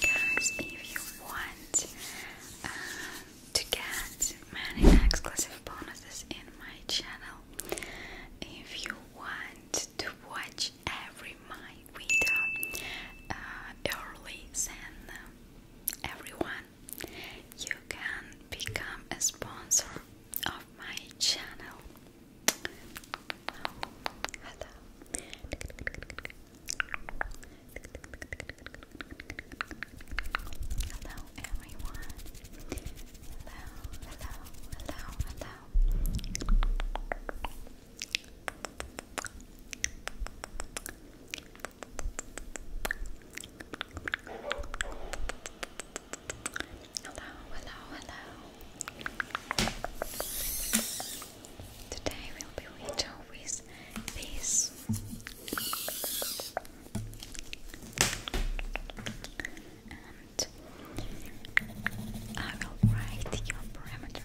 Guys, if you want uh, to get many exclusive bonuses in my channel, if you want to watch every my video uh, early, everyone you can become a sponsor of my channel. Hello everyone. Hello, hello, hello, hello. Hello, hello, hello. Today we'll be reading with this. And I will write your parameters.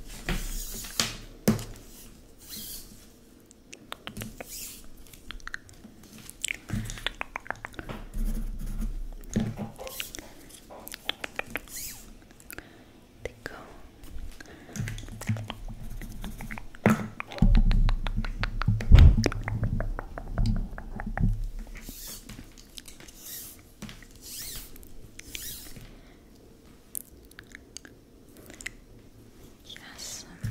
They go. Yes, super.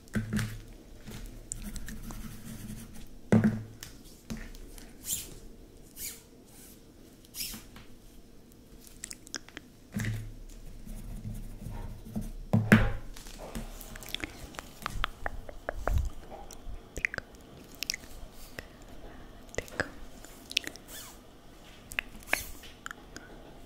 Tickle. Tickle.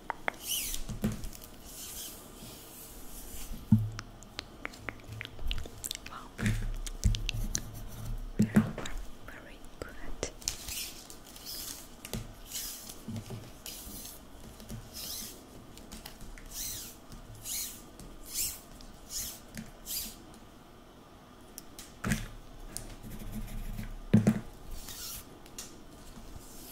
Wow, very, very good. Wow,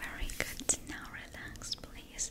Very good. Now relax, please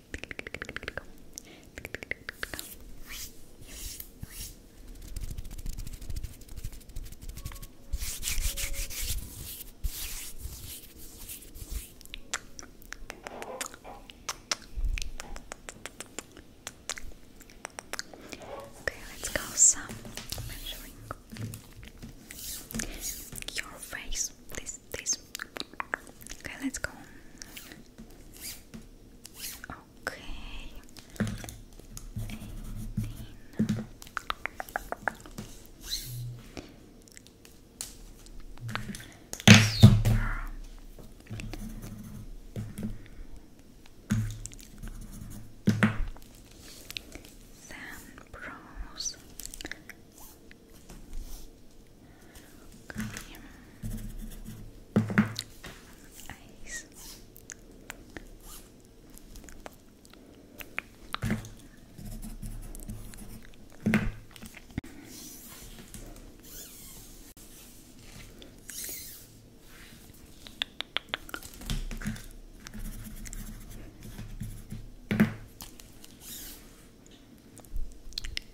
Okay, let's go some measuring your face. This Okay, let's go. Okay. 18. Then bronze. Okay. Eyes.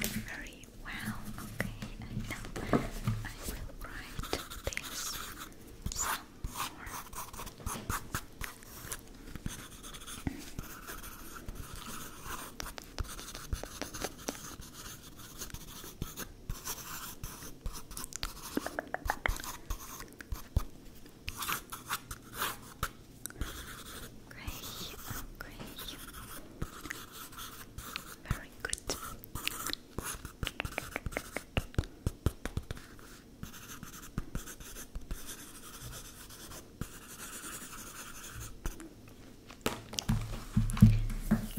Very well, okay, and now I will write this some Okay, okay. Very good.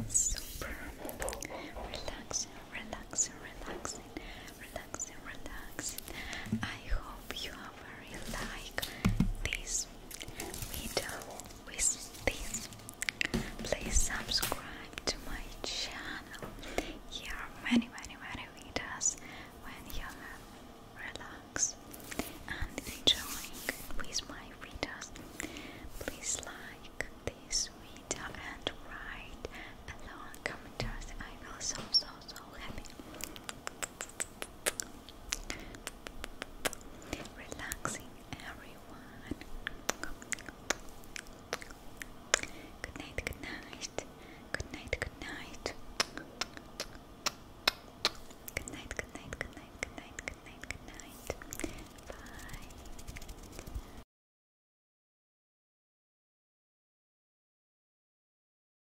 Super relaxing, relaxing, relaxing, relaxing, relaxing. I hope you are like this video with this. Please subscribe to my channel. Here are many, many, many videos when you relax and enjoying with my videos. Please like this video and write a long comment. I will so so so happy. Relaxing everyone. Good night, good night. Good night, good night. Good night, good night, good night, good night, good night, good night. Bye.